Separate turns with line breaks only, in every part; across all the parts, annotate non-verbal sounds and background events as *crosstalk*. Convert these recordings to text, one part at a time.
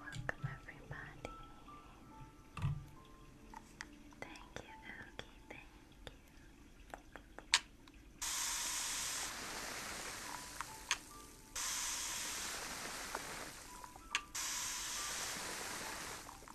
Welcome everybody. Thank you, Oogie, thank you.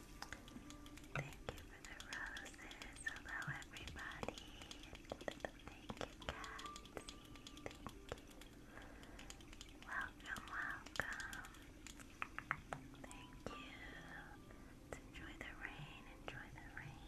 Thank you for the roses. Hello, everybody. Thank you, Kathy. Thank you. Welcome, welcome. Thank you. enjoy the rain. Enjoy the rain.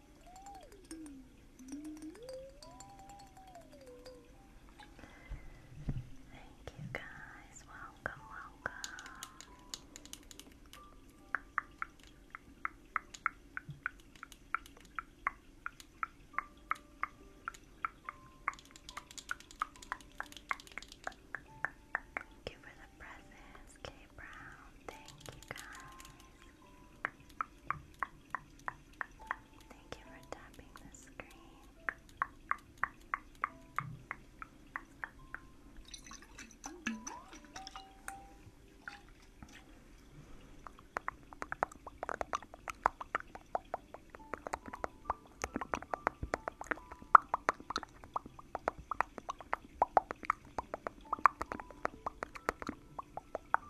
Thank you guys. Welcome, welcome. Thank you for the presents, K Brown. Thank you guys. Thank you for tapping the screen.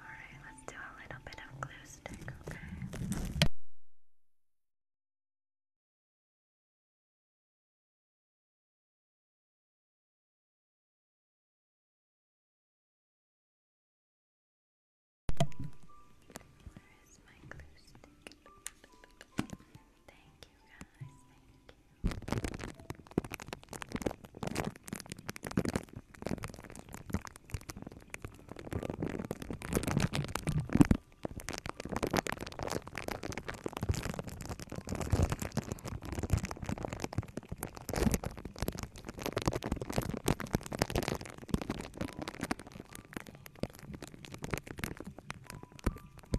Alright, let's do a little bit of glue stick, okay? Where is my glue stick? Thank you guys, thank you. Thank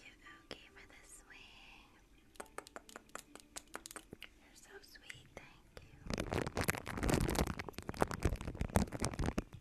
you, Oki, for the swing. You're so sweet, thank you.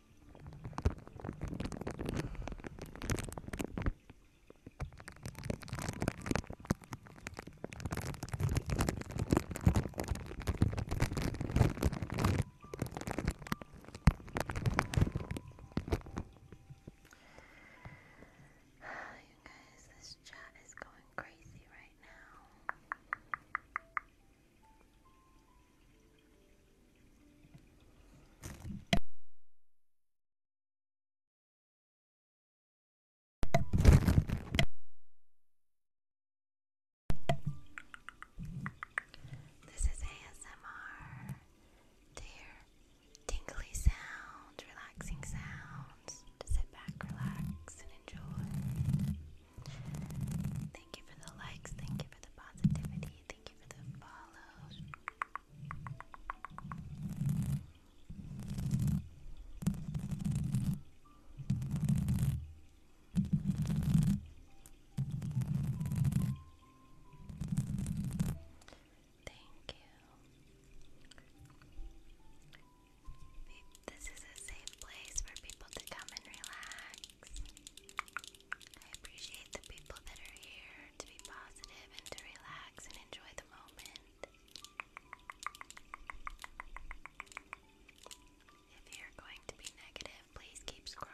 *sighs* You guys, this chat is going crazy right now. This is ASMR. Dear tingly sound, relaxing sounds to sit back, relax, and enjoy. Thank you for the likes, thank you for the positivity. Thank you for the follows. Thank you. This is a safe place for people to come and relax. I appreciate the people that are here to be positive and to relax and enjoy the moment. If you're going to be negative, please keep scrolling.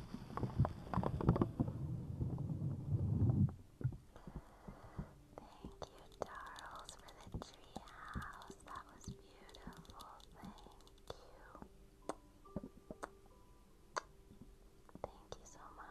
Thank you, Darls, for the treehouse. That was beautiful. Thank you. Thank you so much.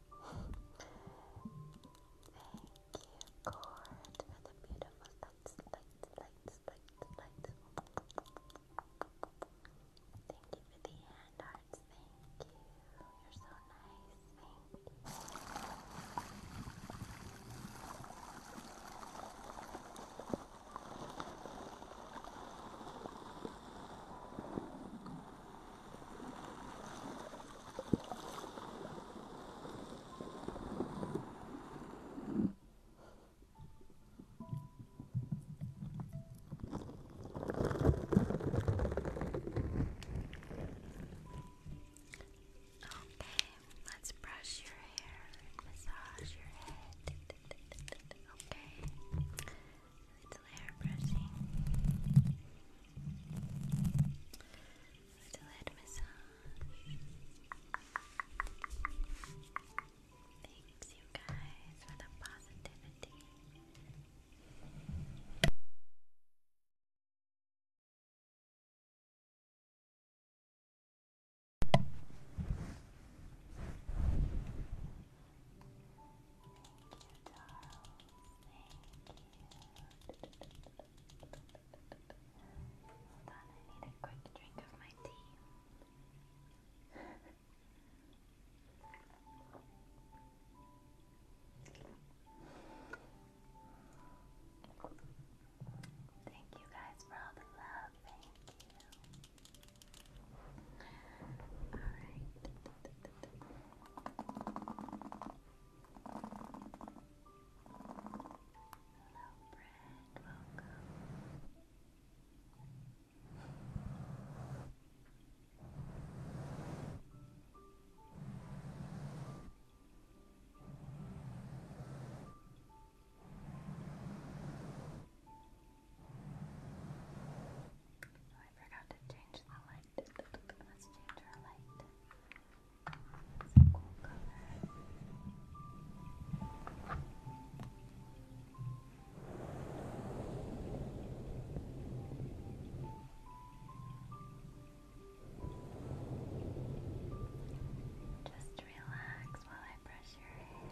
you, Gord, for the beautiful lights, lights, lights, lights, Thank you for the hand hearts. Thank you. You're so nice. Thank you, Okay, let's brush your hair and massage your head. Okay little hair brushing, little head massage. Thanks, you guys, for the positivity. Thank you, Darl. Hold on, I need a quick drink of my tea. Thank you guys for all the love. Thank you. Alright. Brad, welcome. I forgot to change the light Let's change our light. It's a cool color. Just relax while I brush your hair.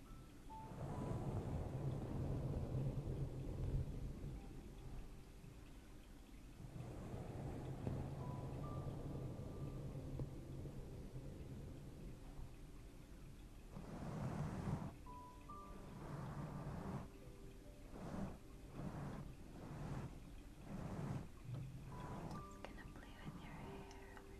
Just gonna play with your hair over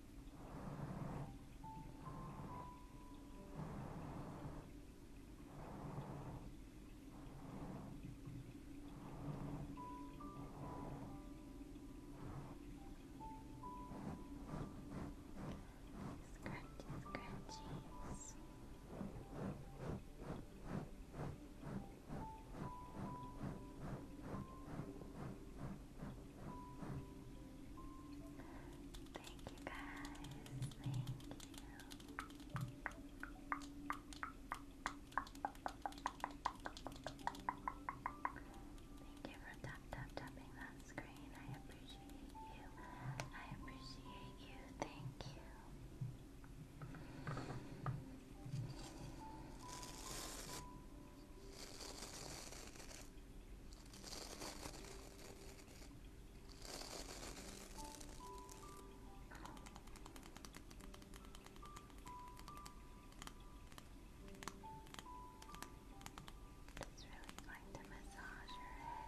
Scratchy, scratchies. Scratchy, Thank you guys. Thank you. Thank you for tap tap tapping that screen. I appreciate you. I appreciate you. Thank you. Just really going to massage your head.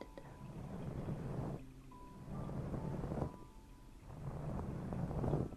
Da -da -da.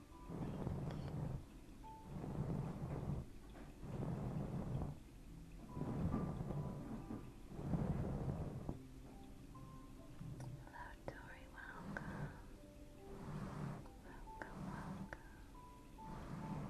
Hello, Tori, welcome. Welcome, welcome. Hello,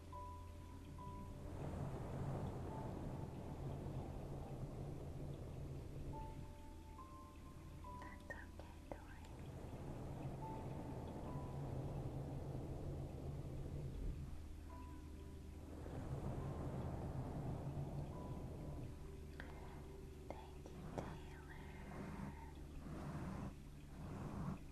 That's okay, Thank you, Taylor. Thank you, Taylor.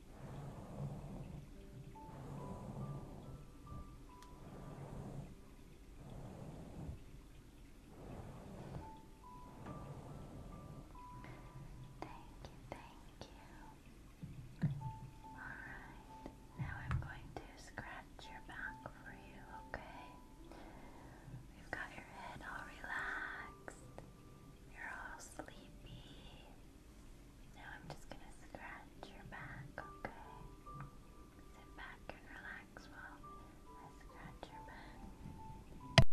thank you. Alright, now I'm going to scratch your back for you, okay? You've got your head all relaxed. You're all sleepy. Now I'm just gonna scratch your back, okay? Sit back and relax while I scratch your back.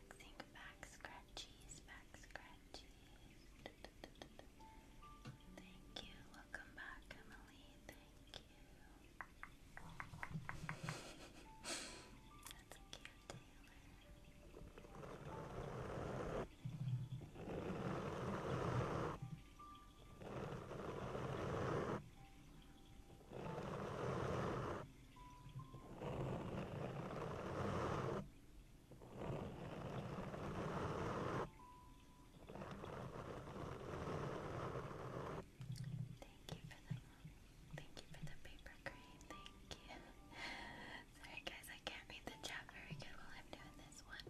relaxing back scratchies, back scratchies. Thank you. Welcome back, Emily. Thank you. That's cute, Taylor. Thank you for the paper crane. Thank you. *laughs* Sorry guys, I can't read the chat very good while I'm doing this one.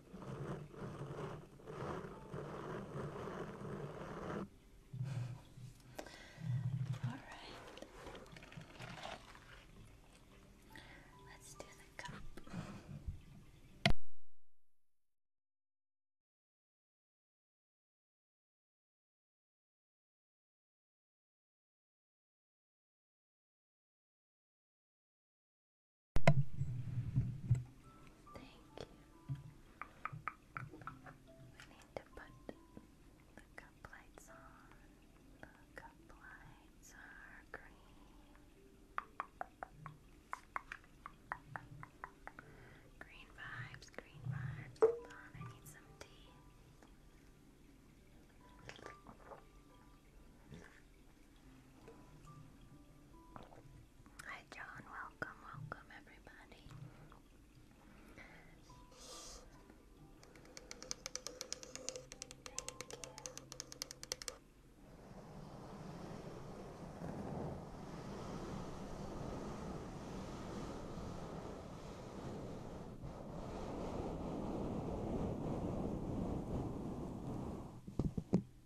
All right. Let's do the cup. Thank you. need to put the cup lights on. The cup lights are green. Green vibes, green vibes. Hold on, I need some tea. Hi, John. Welcome, welcome, everybody. Thank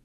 you.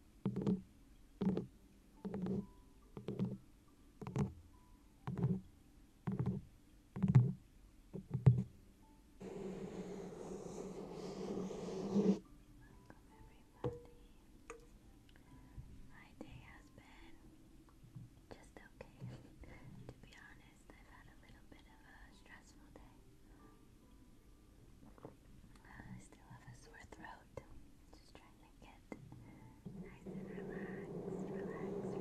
My day has been just okay. *laughs* to be honest, I've had a little bit of a stressful day. I still have a sore throat. Just trying to get nice and relaxed, relaxed, relaxed.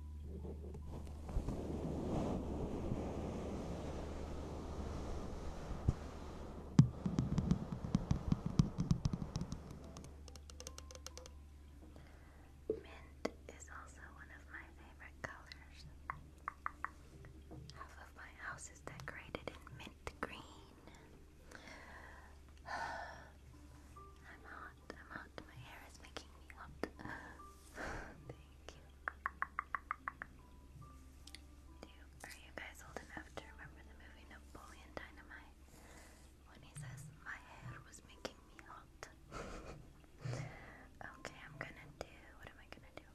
Mint is also one of my favorite colors. Half of my house is decorated in mint green. *sighs* I'm hot, I'm hot. My hair is making me hot. *sighs* Thank you. are you guys old enough to remember the movie Napoleon Dynamite? When he says, My hair was making me hot. *laughs* okay, I'm gonna do. What am I gonna do?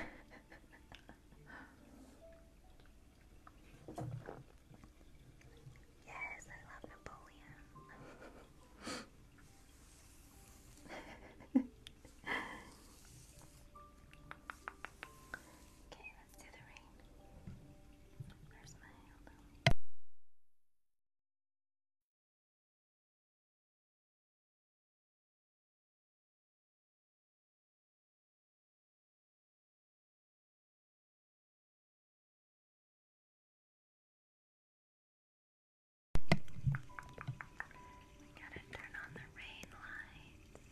Rain. *laughs* *laughs* Yes, I love Napoleon. *laughs* okay, let's do the rain. Where's my elbow? We gotta turn on the rain lights.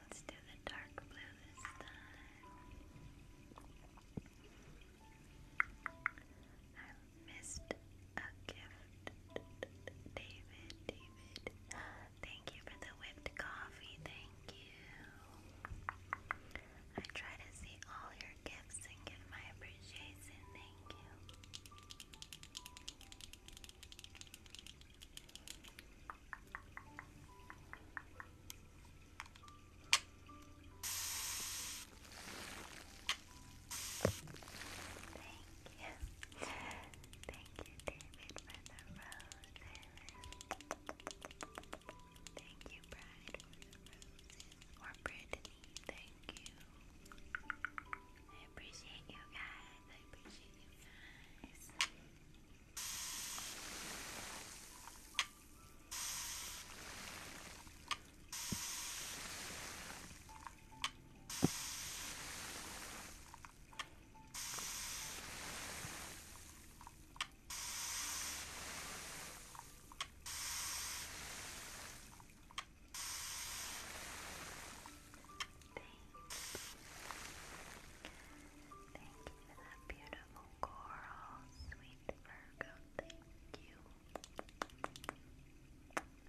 Let's do the dark blue this time. I missed a gift. David, David. *gasps* Thank you for the whipped coffee. Thank you. I try to see all your gifts and give my appreciation. Thank you. Thank you. Thank you, David, for the roses. Thank you, Bride, for the roses. Or Brittany, thank you. I appreciate you guys. I appreciate you guys. Thank Thank you for that beautiful coral, sweet Virgo. Thank you.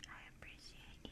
I appreciate you.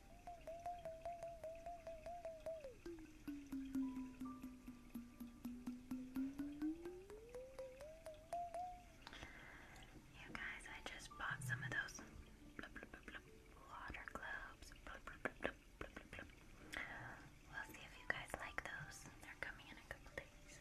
You guys, I just bought some of those water globes. We'll see if you guys like those. They're coming in a couple days.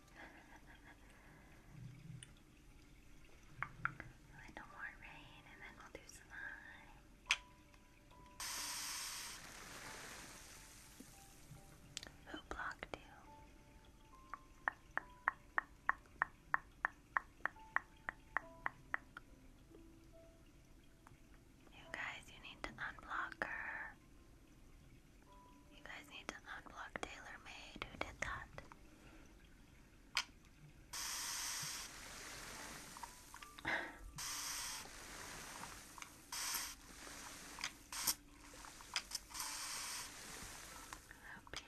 We'll more rain and then we'll do slime. Who blocked you? You guys, you need to unblock her. You guys need to unblock TaylorMade who did that. Up oh, here.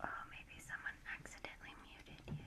Oh, maybe someone accidentally muted you.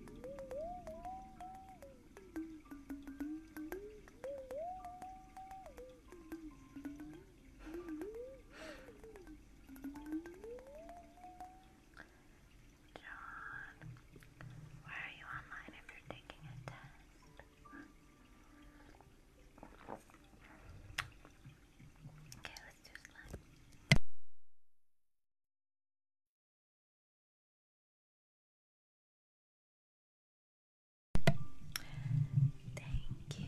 John, where are you online if you're taking a test? Okay, let's do slime. Thank you.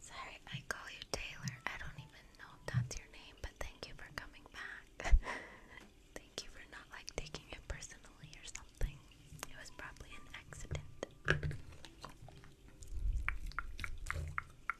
Sorry, I call you Taylor. I don't even know if that's your name, but thank you for coming back. *laughs* thank you for not like taking it personally or something. It was probably an accident.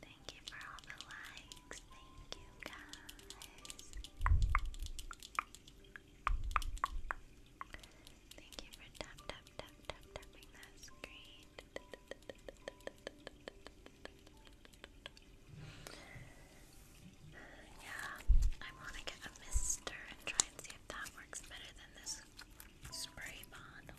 Thank you for all the likes thank you guys. Thank you for tap tap tapping that screen. Yeah, I want to get a mister and try and see if that works better than this spray bottle.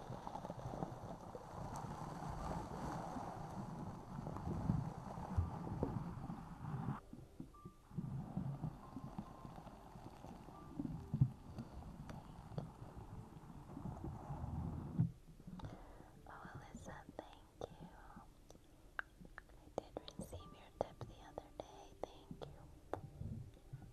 Oh, thank you. I did receive your tip the other day. Thank you.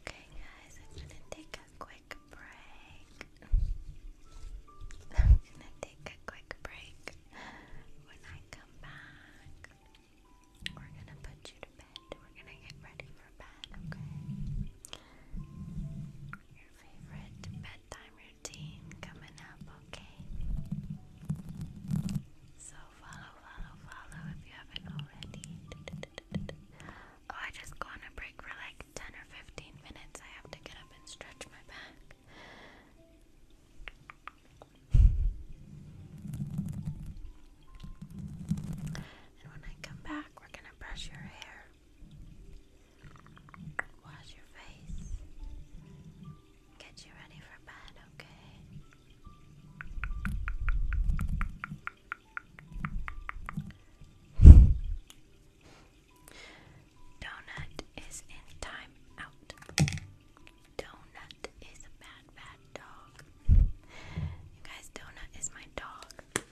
Okay, guys, I'm gonna take a quick break. I'm gonna take a quick break. When I come back, we're gonna put you to bed. We're gonna get ready for bed, okay? Your favorite bedtime routine coming up, okay? So, follow, follow, follow if you haven't already. *laughs* Oh, I just go on a break for like 10 or 15 minutes. I have to get up and stretch my back. And when I come back, we're gonna brush your hair, wash your face, get you ready for bed, okay? Donut is in time out. Donut is a bad, bad dog. You guys, Donut is my dog.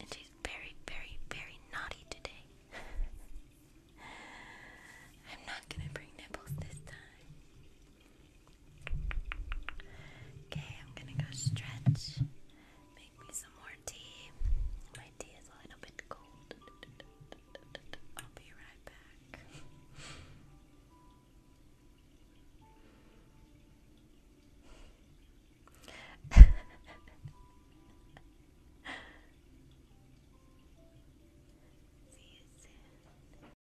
And she's very, very, very naughty today. *laughs* I'm not gonna bring nipples this time. Okay, I'm gonna go stretch. Make me some more tea. My tea is a little bit cold. I'll be right back. *laughs*